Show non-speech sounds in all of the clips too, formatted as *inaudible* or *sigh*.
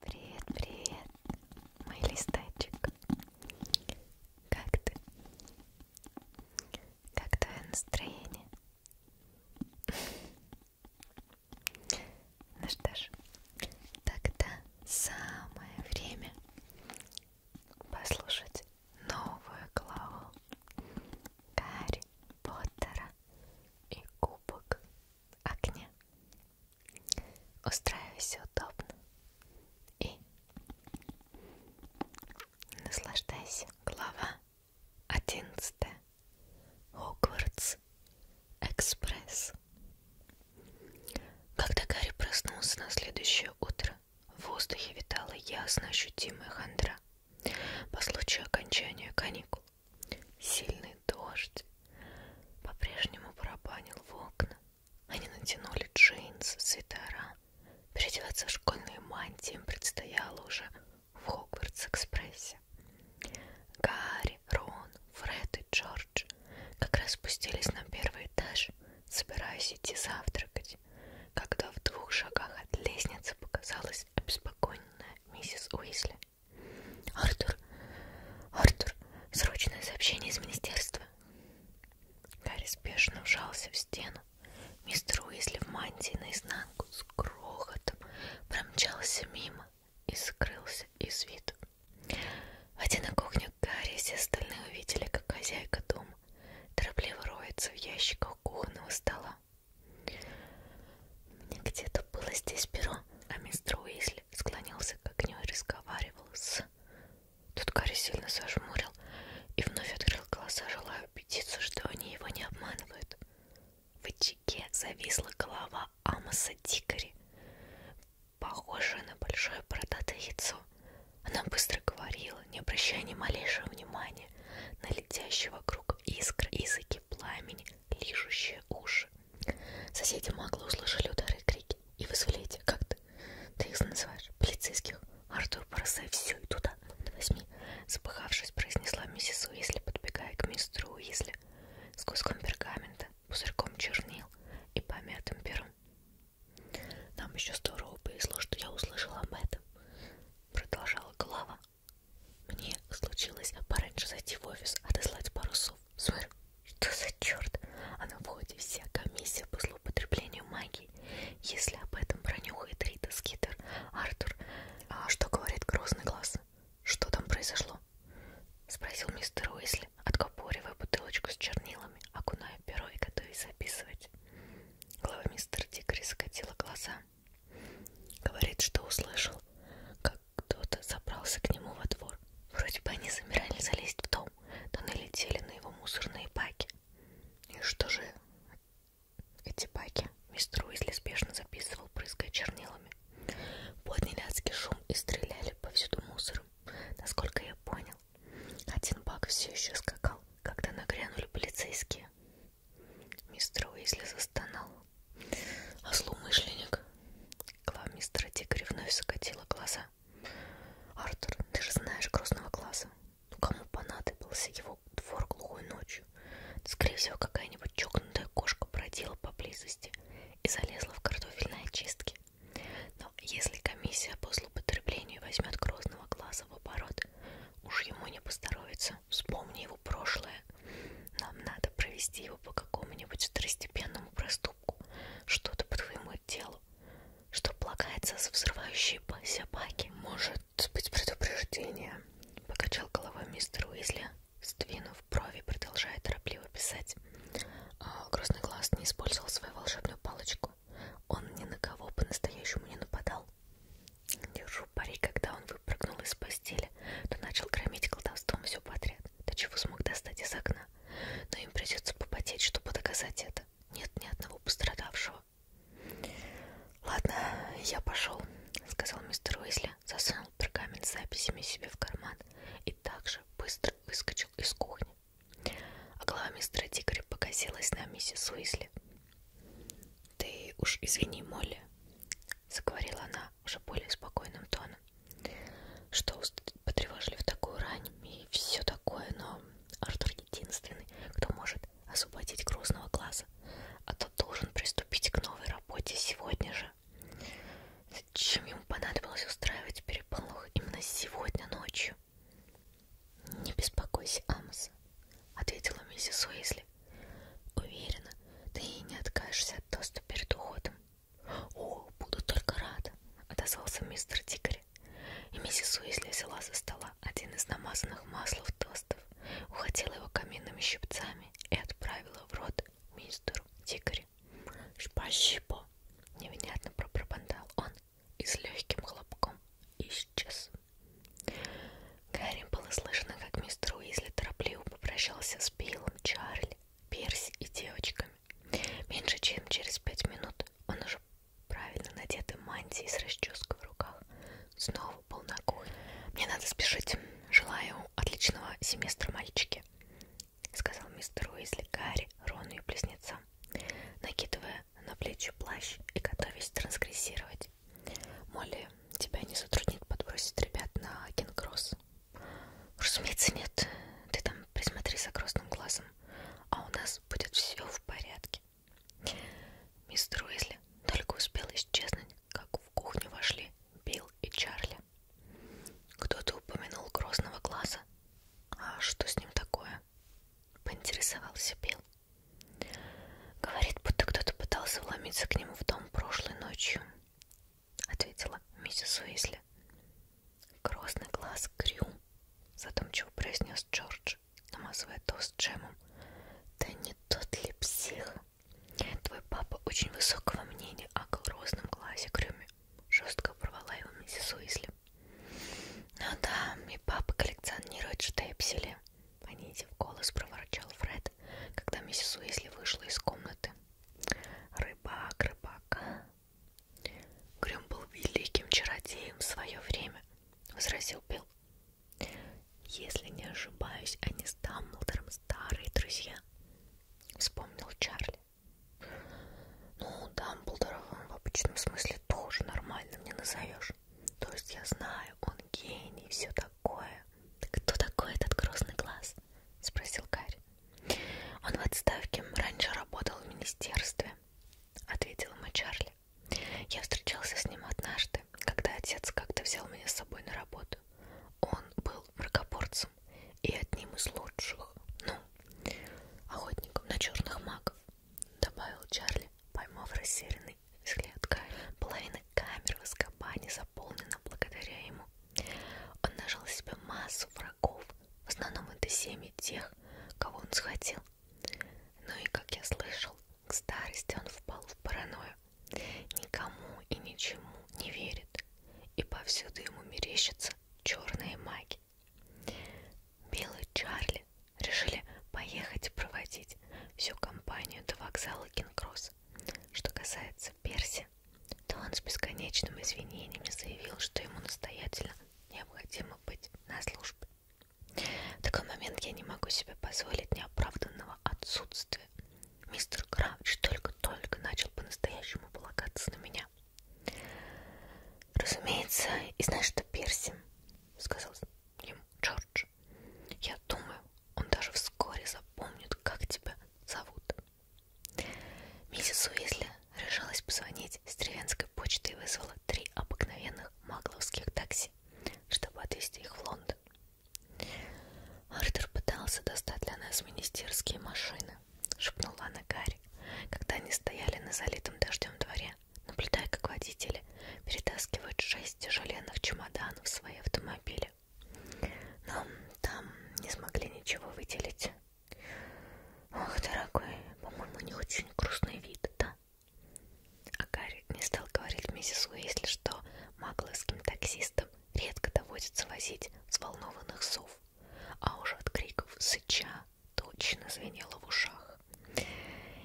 Привет, привет, мой листочек. Как ты? Как твое настроение? Ну что ж, тогда самое время послушать новую главу Гарри Поттера и Кубок Огня. Устраивайся удобно и наслаждайся. Глава одиннадцатая. Хогвартс Экспресс. Когда Гарри проснулся на следующее утро, в воздухе витала ясно ощутимая хандра. По случаю окончания каникул Сильный дождь по-прежнему барабанил в окна. Они натянули джинсы, свитера. Переодеваться в школьные мантии им предстояло уже в Хогвартс-экспрессе. Гарри, Рон, Фред и Джордж как раз спустились на первый этаж, собираясь идти завтракать, когда в двух шагах от лестницы показалась обеспокоенная миссис Уизли. Артур, Артур, срочное сообщение из министерства. Гарри спешно вжался в стену. Мистер Уизли в мантии наизнанку с грохотом промчался мимо и скрылся из виду. Войдя на кухню, Гарри и все остальные увидели, как хозяйка дома торопливо роется в ящиках кухонного стола. У меня где-то было здесь перо, а мистер Уизли склонился к огню и разговаривал с... Тут Гарри сильно зажмурил и вновь открыл глаза, желая убедиться, что они его не обманывают. В очаге зависла голова Амоса Дикари, похожая на большое бородатое яйцо. Она быстро говорила, не обращая ни малейшего внимания на летящие вокруг искры, языки пламени, лижущие уши. Соседи Макла услышали удары и крики и вызвали эти, как ты, ты их называешь, полицейских. Артур, бросай все и туда, до возьми. Запыхавшись, произнесла миссис Уизли, подбегая к мистеру Уизли с куском пергамента, пузырьком чернил и помятым пером. Нам еще здорово повезло, что я услышала об этом, продолжала голова. Мне случилось пораньше зайти в офис, отослать пару сов. Смотри, что за черт? А на входе вся комиссия по злоупотреблению магии. Если об этом пронюхает Рита Скитер, Артур, а что говорит грозный глаз? Что там произошло? Спросил мистер Уизли, откопоривая бутылочку с чернилами, окуная перо и готовясь записывать. Глава мистера Дикари закатила глаза. Говорит, что услышал, как кто-то забрался к нему во двор. Вроде бы они замирали залезть в дом, но налетели на его мусорные баки. И что же эти баки? Мистер Уизли спешно записывал, прыская чернилами. Подняли адский шум и стреляли повсюду мусором, насколько я понял. Один бак все еще скакал, когда нагрянули полицейские. Мистер Уизли застонал. А злоумышленник? Глав мистера Дикари вновь закатила глаза. Артур, ты же знаешь грозного класса. Ну, кому понадобился его двор глухой ночью? Скорее всего, какая-нибудь чокнутая кошка бродила поблизости и залезла в картофельные очистки. Но если комиссия по злоупотреблению возьмет грозного класса в оборот, уж ему не поздоровится вернется. Вспомни его прошлое. Нам надо провести его по какому-нибудь второстепенному проступку. Что-то по твоему делу. Что полагается за взрывающие собаки. Может быть предупреждение. Покачал головой мистер Уизли, сдвинув брови, продолжая торопливо писать. А Грозный глаз не использовал свою волшебную палочку. Он ни на кого по-настоящему не нападал. Держу пари, когда он выпрыгнул из постели, то начал громить колдовством все подряд, до чего смог достать из окна. Но им придется попотеть, чтобы доказать это. Нет ни одного пострадавшего. «Ладно, я пошел», — сказал мистер Уизли, засунул пергамент с записями себе в карман и также быстро выскочил из кухни. А голова мистера Дикари покосилась на миссис Уизли. «Ты уж извини, Молли», заговорила она уже более спокойным тоном, что потревожили в такую рань и все такое, но Артур единственный, кто может освободить грустного глаза, а тот должен приступить к новой работе сегодня же. Зачем ему понадобилось устраивать переполох именно сегодня ночью? Не беспокойся, Амос. — ответила миссис Уизли. «Уверена, ты и не откажешься от тоста перед уходом». «О, буду только рада», — отозвался мистер Дикари. И миссис Уизли взяла со стола один из намазанных маслов тостов, ухватила его каминными щипцами и отправила в рот мистеру Дикари. «Спасибо!» — невнятно пропробандал он и с легким хлопком исчез. Гарри было слышно, как мистер Уизли торопливо попрощался с Биллом, Чарли, Перси и девочками. Меньше чем через пять минут он уже правильно надетый мантии с расческой в руках снова был на кухне. «Мне надо спешить. Желаю отличного семестра, мальчики», — сказал мистер Уизли Гарри, Рону и близнецам, накидывая на плечи плащ и готовясь трансгрессировать. Молли, тебя не затруднит подбросить ребят на Кингросс? Разумеется, нет. Ты там присмотри за красным глазом, а у нас будет все в порядке. Мистер Уизли только успел исчезнуть, как в кухню вошли Билл и Чарли. Кто-то упомянул красного глаза. А что с ним такое? Поинтересовался Билл. Говорит, будто кто-то пытался вломиться к нему в дом прошлой ночью, ответила миссис Уизли. Грозный глаз Крю, задумчиво произнес Джордж, намазывая тост джемом. Да не тот ли псих? Твой папа очень высокого мнения о грозном глазе Крюме, жестко порвала его миссис Уизли. Ну да, и папа коллекционирует штепсели, понизив голос, проворчал Фред свет, когда миссис Уизли вышла из комнаты. Рыбак, рыбак. А?» Грюм был великим чародеем в свое время, возразил Билл. Если не ошибаюсь, они с Дамблдором старые друзья, вспомнил Чарли. Ну, Дамблдоров он в обычном смысле тоже нормально не назовешь. То есть я знаю, он гений, все такое такое? Кто такой этот грозный глаз? Спросил Гарри. Он в отставке, раньше работал в министерстве, ответил ему Чарли. Я встречался с ним однажды, когда отец как-то взял меня с собой на работу. Он был мракоборцем и одним из лучших, ну, охотником на черных магов, добавил Чарли, поймав растерянный взгляд Гарри. Половина камер в Аскабане заполнена благодаря ему. Он нажал себе массу врагов, в основном это семьи тех, кого он схватил. Ну и, как я слышал, к старости он впал в паранойю. Никому и ничему не верит, и повсюду ему мерещатся черные маги. Белый Чарли Решили поехать проводить всю компанию до вокзала Кингросс. Что касается Перси, то он с бесконечными извинениями заявил, что ему настоятельно необходимо быть на службе. В такой момент я не могу себе позволить неоправданного отсутствия. Мистер Крауч только-только начал по-настоящему полагаться на меня. Разумеется, и знаешь, что Перси, сказал ему Джордж, можешь. Я думаю, он даже вскоре запомнит, как тебя зовут. Миссис Уизли решилась позвонить с деревенской почты и вызвала три обыкновенных магловских такси, чтобы отвезти их в Лондон. Артур пытался достать для нас министерские машины, шепнула она Гарри, когда они стояли на залитом дождем дворе наблюдая, как водители перетаскивают шесть тяжеленных чемоданов в свои автомобили. Но там не смогли ничего выделить. Ох, дорогой, по-моему, не очень грустный вид, да? А Гарри не стал говорить миссис Уэйсли, что магловским таксистам редко доводится возить взволнованных сов, а уже от криков сыча точно звенело в ушах их.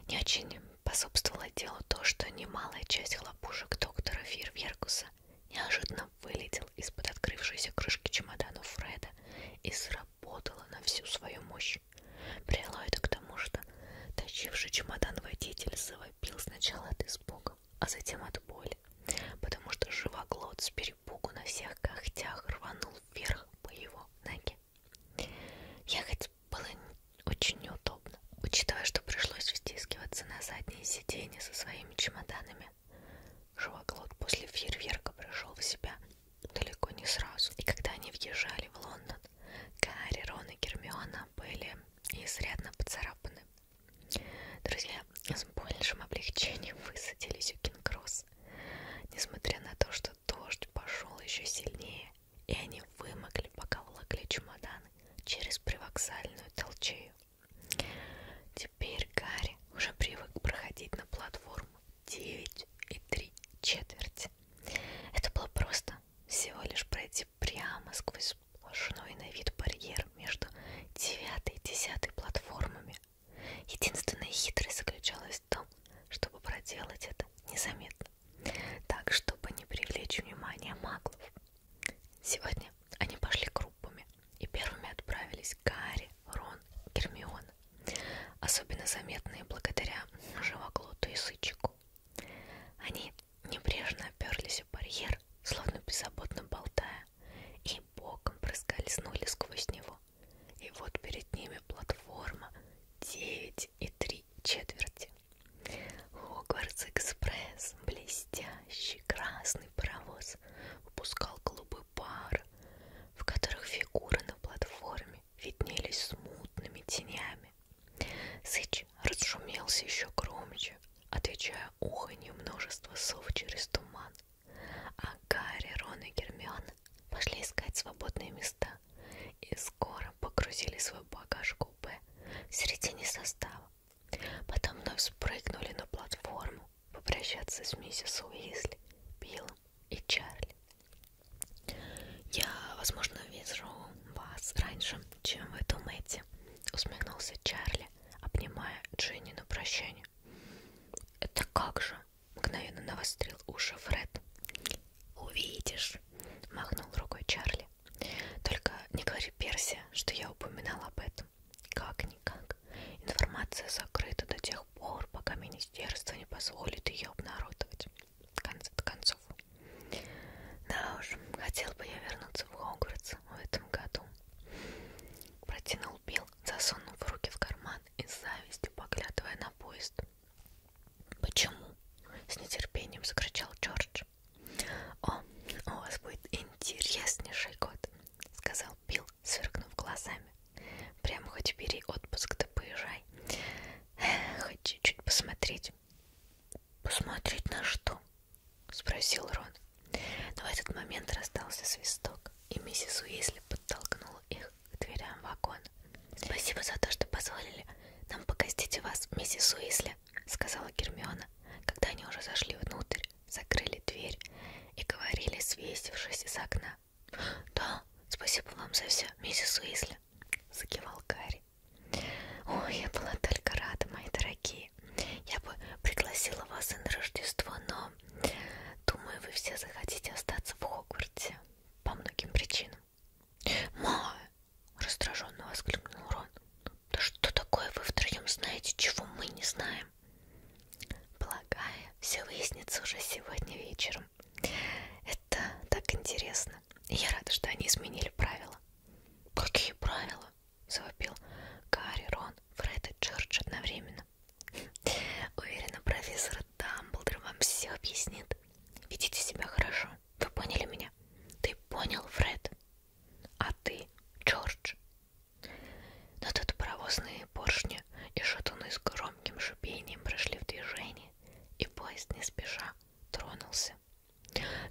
Не очень пособствовало делу то, что немалая часть хлопушек доктора Фирверкуса неожиданно вылетел из-под открывшейся крышки чемодану Фреда и сработала на всю свою мощь. Привело это к тому, что тащивший чемодан водитель завопил сначала от испуга, а затем от боли, потому что живоглот с перепугу на всех когтях рванул вверх по его ноге. Ехать было очень неудобно, учитывая, что пришлось втискиваться на задние сиденья со своими чемоданами. Жуаклот после фейерверка пришел в себя далеко не сразу. И когда они въезжали в Лондон, Гарри, Рон и Гермиона были изрядно поцарапаны. Друзья с большим облегчением высадились у Кингросс. Несмотря на то, что дождь пошел еще сильнее, и они вымокли, пока волокли чемоданы через привокзальную толчею. Теперь Гарри уже привык проходить на платформу 9 и 3 четверти. Это было просто всего лишь пройти прямо сквозь сплошной на вид барьер между 9 и 10 платформами. Единственная хитрость заключалась в том, чтобы проделать это незаметно, так, чтобы не привлечь внимание маглов. Сегодня они пошли группами и первыми отправились Гарри, Рон, Гермиона, особенно заметные благодаря живоглоту и сычику. Они небрежно оперлись в барьер, словно беззаботно болтая, и боком проскользнули сквозь него. И вот перед ними платформа 9 и 3 три четверти. Хогвартс Экспресс, блестящий красный паровоз, выпускал голубой пар, в которых фигуры на платформе виднелись смутными тенями. Сыч разшумелся еще громче, отвечая уханью множества сов через туман. А Гарри, Рон и Гермиона пошли искать свободные места и скоро погрузили свой багаж в купе в середине состава. Потом вновь спрыгнули на платформу попрощаться с миссис Уизли, Биллом и Чарли. «Я, возможно, вижу вас раньше, чем вы думаете», — усмехнулся Чарли, обнимая Дженни на прощание. «Это как же?» Мгновенно навострил уши Фред. «Увидишь!» — махнул рукой Чарли. «Только не говори Перси, что я упоминал об этом. Как-никак. Информация закрыта до тех пор, пока министерство не позволит ее обнародовать. В конце концов. Да уж, хотел бы я вернуться в Хогвартс в этом году». Протянул Билл, засунув руки в карман и с завистью поглядывая на поезд. Почему? С нетерпением закричал Джордж. О, у вас будет интереснейший год, сказал Билл, сверкнув глазами. Прямо хоть бери отпуск, да поезжай. Хоть чуть-чуть посмотреть. Посмотреть на что? Спросил Рон. Но в этот момент раздался свисток, и миссис Уизли подтолкнула их к дверям вагон. «Спасибо за то, что позволили нам погостить у вас, миссис Уисли», — сказала Гермиона, когда они уже зашли внутрь, закрыли дверь и говорили, свесившись из окна. «Да, спасибо вам за все, миссис Уисли», — закивал Гарри. «Ой, я была только рада, мои дорогие. Я бы пригласила вас и на Рождество, но думаю, вы все захотите остаться в Хогвартсе по многим причинам. Ма! раздраженно воскликнул Рон. Да что такое вы втроем знаете, чего мы не знаем? Полагаю, все выяснится уже сегодня вечером. Это так интересно. И я рада, что они изменили правила. Какие правила? завопил Гарри, Рон, Фред и Джордж одновременно. Уверена, профессор Дамблдор вам все объяснит. Ведите себя хорошо. Вы поняли меня? Ты понял, Фред? А ты, Джордж? Но тут паровозные поршни и шатуны с громким шипением прошли в движение, и поезд не спеша тронулся.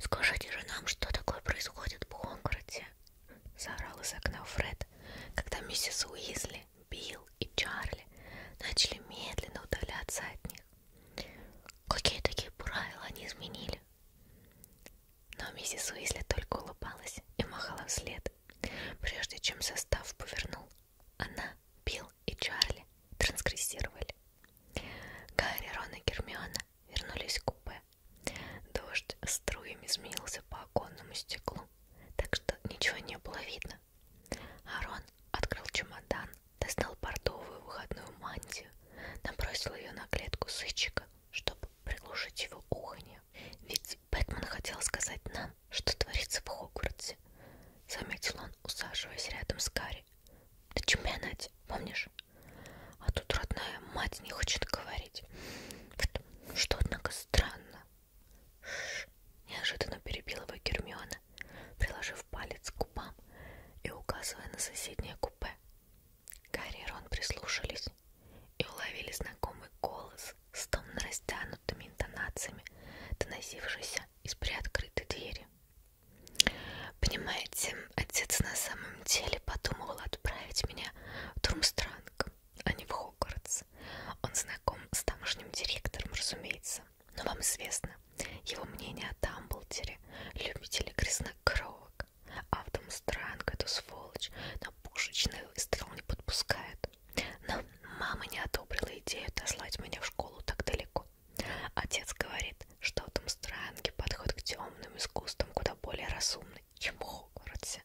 «Скажите же нам, что такое происходит в Хогвартсе?» — заорал из окна Фред, когда миссис Уизли Билли, Билл и Чарли начали медленно удаляться от них. Какие такие правила они изменили? Но миссис Уизли только улыбалась и махала вслед. Прежде чем состав повернул, она, Билл и Чарли трансгрессировали. Гарри, Рон и Гермиона вернулись в купе. Дождь струями изменился по оконному стеклу, так что ничего не было видно, Арон открыл чемодан, достал бордовую выходную мантию, набросил ее на клетку сычика, чтобы приглушить его уханье. Ведь Бэтмен хотел сказать нам, что творится в Хогвартсе, заметил он, усаживаясь рядом с Гарри. Да чемпионате, помнишь? А тут родная мать не хочет говорить. Что, однако, странно. Шш! неожиданно перебила его Гермиона, приложив палец к губам и указывая на соседнее купе. Гарри и Рон прислушались и уловили знакомый голос с томно растянутыми интонациями, доносившийся из приоткрытой двери. «Понимаете, отец на самом деле подумывал отправить меня в Турмстранг, а не в Хогвартс. Альянс. Он знаком с тамошним директором, разумеется. Но вам известно его мнение о Дамблдере, любители краснокровок. А в Странг эту сволочь на пушечный выстрел не подпускает. Но мама не одобрила идею дослать меня в школу так далеко. Отец говорит, что в Странге подход к темным искусствам куда более разумный, чем в Хогвартсе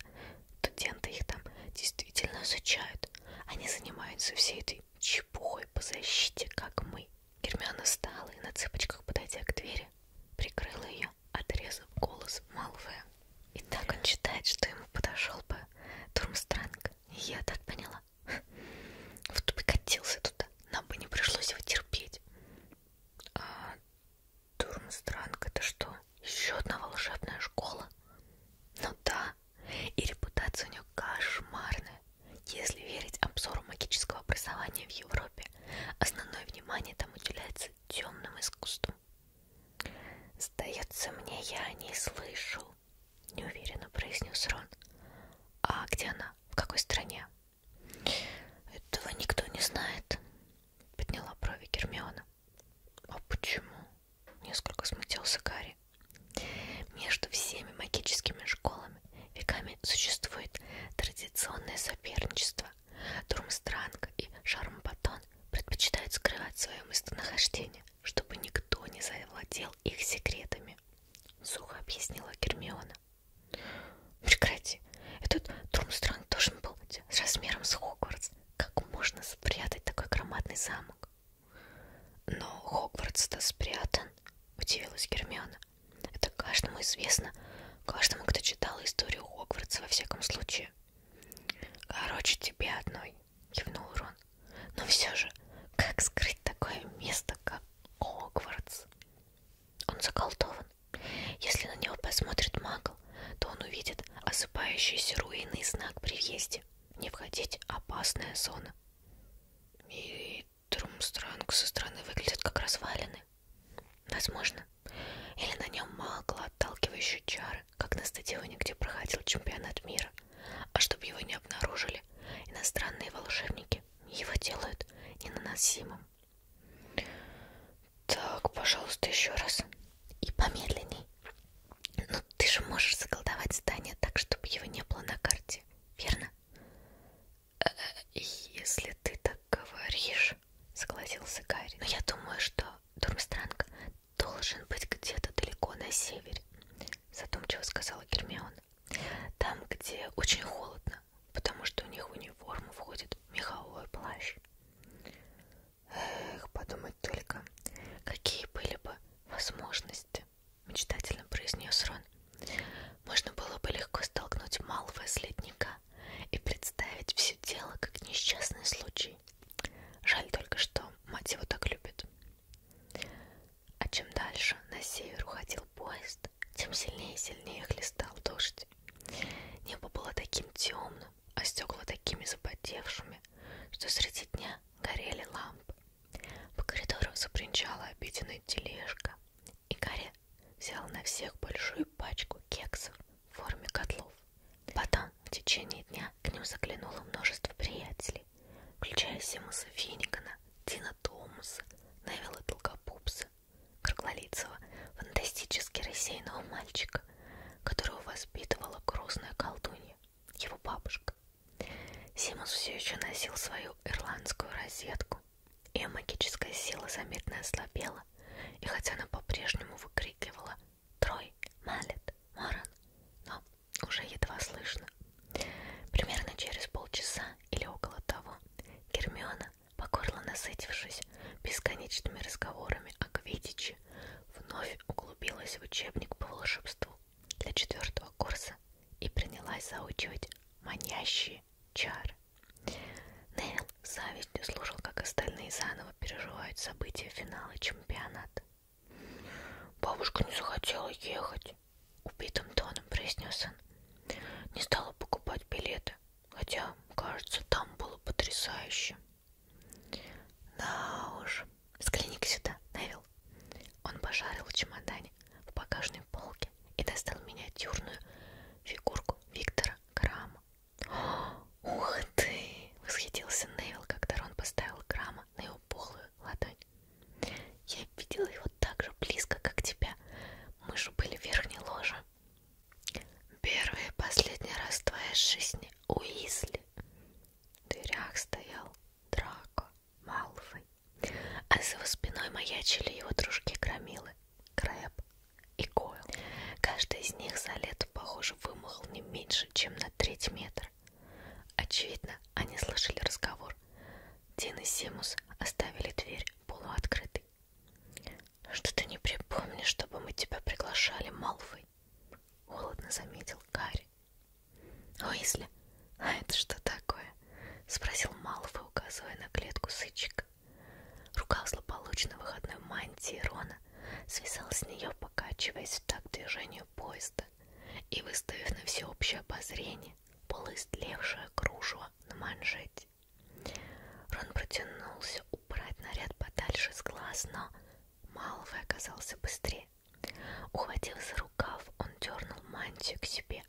студенты их там действительно изучают. Они занимаются всей этой чепухой по защите, как мы. Гермиона встала и на цыпочках, подойдя к двери, прикрыла ее, отрезав голос Малфоя. И так он считает, что ему подошел бы Турмстранг. Я так поняла. Вот бы катился туда, нам бы не пришлось его терпеть. А Турмстранг это что? Еще одна волшебная школа. Ну да, и репутация у нее кошмарная. Если верить обзору магического образования в Европе, основное внимание там уделяется темным искусствам. Сдается мне, я о ней слышу, неуверенно произнес Рон. А где она? В какой стране? Этого никто не знает, подняла брови Гермиона. А почему? Несколько смутился Гарри. Между всеми магическими школами веками существует традиционное соперничество. Турмстранг и Шармпатон предпочитают скрывать свое местонахождение, чтобы никто не завладел их секретами. Сухо объяснила Гермиона. Прекрати, этот Турмстранг должен был быть с размером с Хогвартс. Как можно спрятать такой громадный замок? так? Но Хогвартс-то спрятан, удивилась Гермиона. Это каждому известно, каждому, кто читал историю Хогвартса во всяком случае. Короче, тебе одной, кивнул Рон. Но все же, как скрыть такое место, как Хогвартс? Он заколдован. Если на него посмотрит Магл, то он увидит осыпающийся руины и знак при въезде не входить опасная зона. И Трумстранг со стороны выглядит как развалины. Возможно. Или на нем могла отталкивающие чары, как на стадионе, где проходил чемпионат мира. А чтобы его не обнаружили, иностранные волшебники его делают ненаносимым. Так, пожалуйста, еще раз. И помедленней. Ну, ты же можешь заколдовать здание так, чтобы его не было на карте, верно? Э, э, если ты так говоришь, согласился Гарри. Но я думаю, что Дурмстранг должен быть где-то далеко на севере, задумчиво сказала Гермиона. Там, где очень холодно, потому что у них в униформу входит меховой плащ. Эх, подумать только, какие были бы возможности, мечтательно произнес Рон. Можно было бы легко столкнуть Малфоя с ледника и представить все дело как несчастный случай. Жаль только, что мать его так любит. А чем дальше на север уходил поезд, тем сильнее и сильнее хлестал дождь. Небо было таким темным, зеленым, а стекла такими запотевшими, что среди дня горели лампы. По коридору запринчала обеденная тележка, и Гарри взял на всех большую пачку кексов в форме котлов. Потом в течение дня к ним заглянуло множество приятелей, включая Симуса Финнигана, Дина Томаса, Невилла Долгопупса, круглолицего, фантастически рассеянного мальчика, ребенок, которого воспитывала грустная колдунья, его бабушка. Симус все еще носил свою ирландскую розетку. Ее магическая сила заметно ослабела, и хотя она по-прежнему выкрикивала «Трой! Малет! Моран!», но уже едва слышно. Примерно через полчаса или около того Гермиона, покорно насытившись бесконечными разговорами о Квидиче ночи вновь углубилась в учебник по волшебству для четвертого курса и принялась заучивать манящие чары. Нейл завистью слушал, как остальные заново переживают события финала чемпионата. «Бабушка не захотела ехать», — убитым тоном произнес он. «Не стала покупать билеты, хотя, кажется, там было потрясающе». Да уж. Взгляни-ка сюда, Невил. Он пошарил в чемодане в багажной полке и достал миниатюрную фигурку Виктора Грамма. *gasps* Ух ты! Восхитился Невил, когда Рон поставил Грамма на его полую ладонь. Я видела его так же близко, как тебя. Мы же были в верхней ложе. Первый и последний раз в твоей жизни Уизли. В дверях стоял Драко Малфой, а за его спиной маячили его дружки Громилы, Крэб и Койл. Каждый из них за лето, похоже, вымахал не меньше, чем на треть метра. Очевидно, они слышали разговор. Дин и Симус оставили дверь полуоткрытой. «Что ты не припомнишь, чтобы мы тебя приглашали, Малфой?» собой, холодно заметил Гарри. Уизли, а это что такое? спросил Малфой, указывая на клетку сычек. Рука злополучной выходной мантии Рона свисала с нее, покачиваясь в такт движению поезда и выставив на всеобщее обозрение полуистлевшее кружево на манжете. Рон протянулся убрать наряд подальше с глаз, но Малвы оказался быстрее. Ухватив за рукав, он дернул мантию к себе.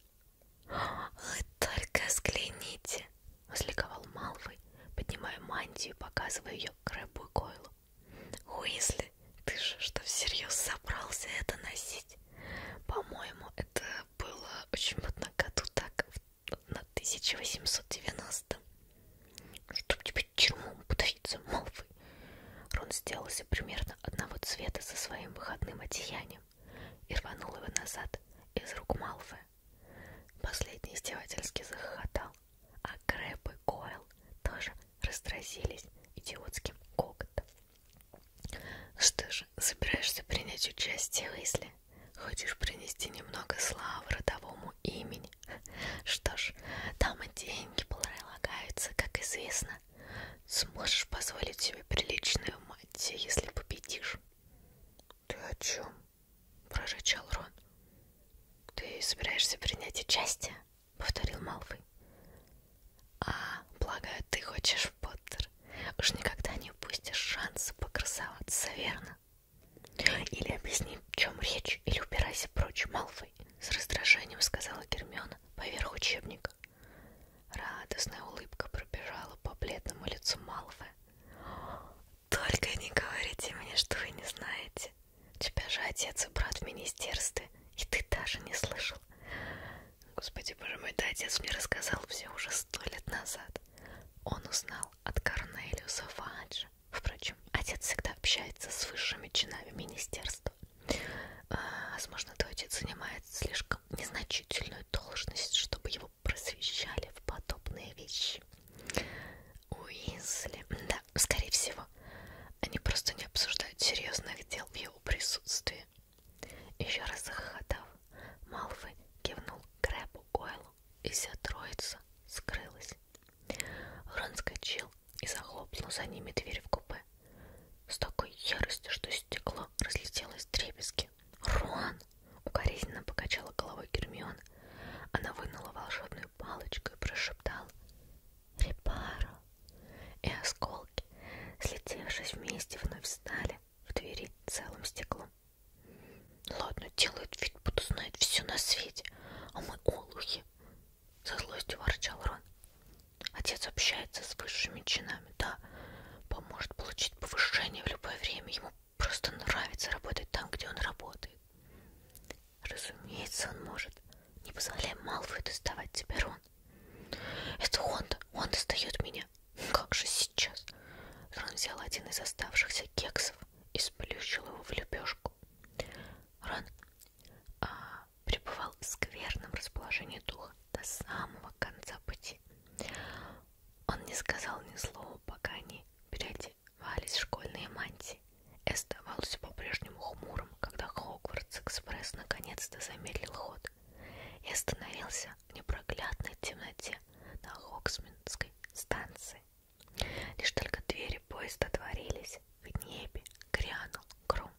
«Вы только взгляните!» — возликовал Малвой, поднимая мантию и показывая ее Крэбу и Койлу. «Уизли, ты же что, всерьез собрался это носить? По-моему, это было очень модно году так в на 1890 чтоб тебе чермом подавиться, Малфой. Рон сделался примерно одного цвета со своим выходным одеянием и рванул его назад из рук Малфоя. Последний издевательски захохотал, а Крэп и Койл тоже раздразились идиотским коготом. «Ну что же, собираешься принять участие, Уизли? Хочешь принести немного славы родовому имени? Что ж, там и деньги полагаются, как известно. Сможешь позволить себе приличную мантию, если победишь. Ты о чем? прорычал Рон. Ты собираешься принять участие? повторил Малфой. А, полагаю, ты хочешь, Поттер. Уж никогда не упустишь шанса покрасоваться, верно? Или объясни, в чем речь, или убирайся прочь, Малфой, с раздражением сказала Гермиона поверх учебника. Радостная улыбка пробежала по бледному лицу Малфоя. Только не говорите мне, что вы не знаете. У тебя же отец и брат в министерстве, и ты даже не слышал. Господи, боже мой, да, отец мне рассказал все уже сто лет назад. Он узнал узнал от Корнелиуса Фаджа. Впрочем, отец всегда общается с высшими чинами министерства. А, возможно, твой отец занимает слишком незначительную должность, чтобы его просвещали в подобные вещи. Уизли. Да, скорее всего. Они просто не обсуждают серьезных дел в его присутствии. Еще раз захохотав, Малфой кивнул Крэбу Гойлу и вся троица скрылась. Рон скочил и захлопнул за ними дверь в купе. С такой яростью, что стекло разлетелось в трепески. «Рон!» — укоризненно покачала головой Гермион. Она вынула волшебную палочку и прошептала «Репаро!» И осколки, слетевшись вместе, вновь встали в двери целым стеклом. Ладно, делает вид, будто знает все на свете, а мы олухи, со злостью ворчал Рон. Отец общается с высшими чинами, да, поможет получить повышение в любое время, ему просто нравится работать там, где он работает. Разумеется, он может. Не позволяй Малфою доставать тебя, Рон. Это он-то, он достает меня. Как же сейчас? Рон взял один из оставшихся кексов и сплющил его в лепешку. Рон а, пребывал в скверном расположении духа до самого конца пути. Он не сказал ни слова, пока они переодевались в школьные мантии и оставался по-прежнему хмурым, когда Хогвартс-экспресс наконец-то замедлил ход и остановился в непроглядной темноте на Хоксминской станции. Лишь только двери поезда отворились, в небе грянул гром.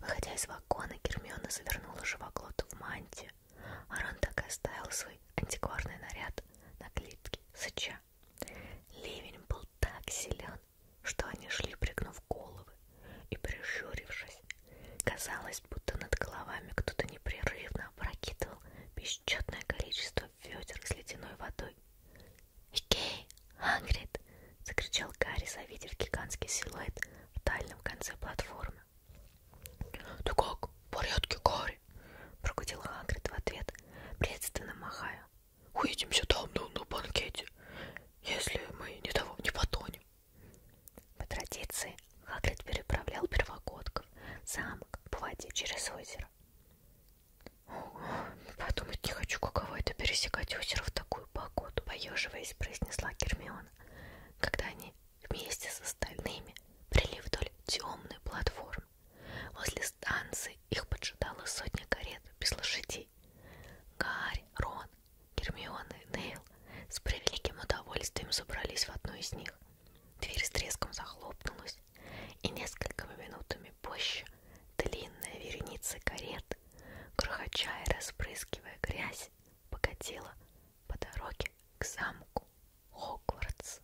Выходя из вагона, Гермиона завернула живоглоту в мантию, а Рон так и оставил свой антикварный наряд на клетке сыча. Ливень был так силен, что они шли, пригнув головы и прищурившись. Казалось, будто над головами кто-то непрерывно опрокидывал бесчетное количество ведер с ледяной водой. «Икей! Хагрид!» — закричал Гарри, завидев гигантский силуэт в дальнем конце платформы. «Ты как? В порядке, Гарри?» — прогудел Хагрид в ответ, приветственно махая. «Увидимся там, ну, на банкете, если мы ни того не потонем». По традиции Хагрид переправлял первогодков замок по воде через озеро. Подумать не хочу, каково это пересекать озеро в такую погоду, поеживаясь, произнесла Гермиона, когда они вместе с остальными прили вдоль темной платформы. Возле станции их поджидала сотня карет без лошадей. Гарри, Рон, Гермиона и Нейл с превеликим удовольствием забрались в одну из них. Дверь с треском захлопнулась, и несколькими минутами позже длинная вереница карет, крохоча и распрыскивая грязь, покатила по дороге к замку Хогвартс.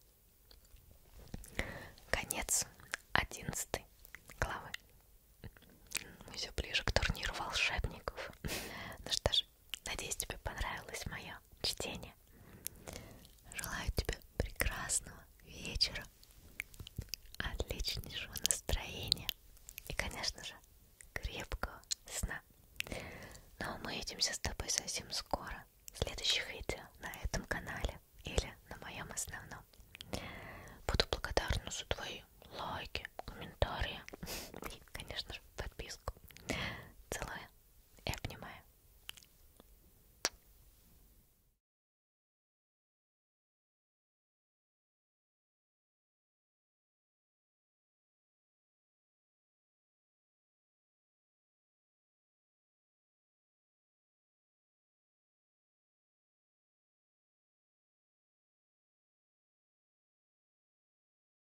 Конец одиннадцатой главы. Мы все ближе к турниру волшебников. Ну что ж, Надеюсь, тебе понравилось мое чтение. Желаю тебе прекрасного вечера, отличнейшего настроения и, конечно же, крепкого сна. Ну а мы увидимся с тобой совсем скоро в следующих видео на этом канале или на моем основном. Буду благодарна за твои лайки, комментарии *laughs* и, конечно же, подписку. Целую и обнимаю.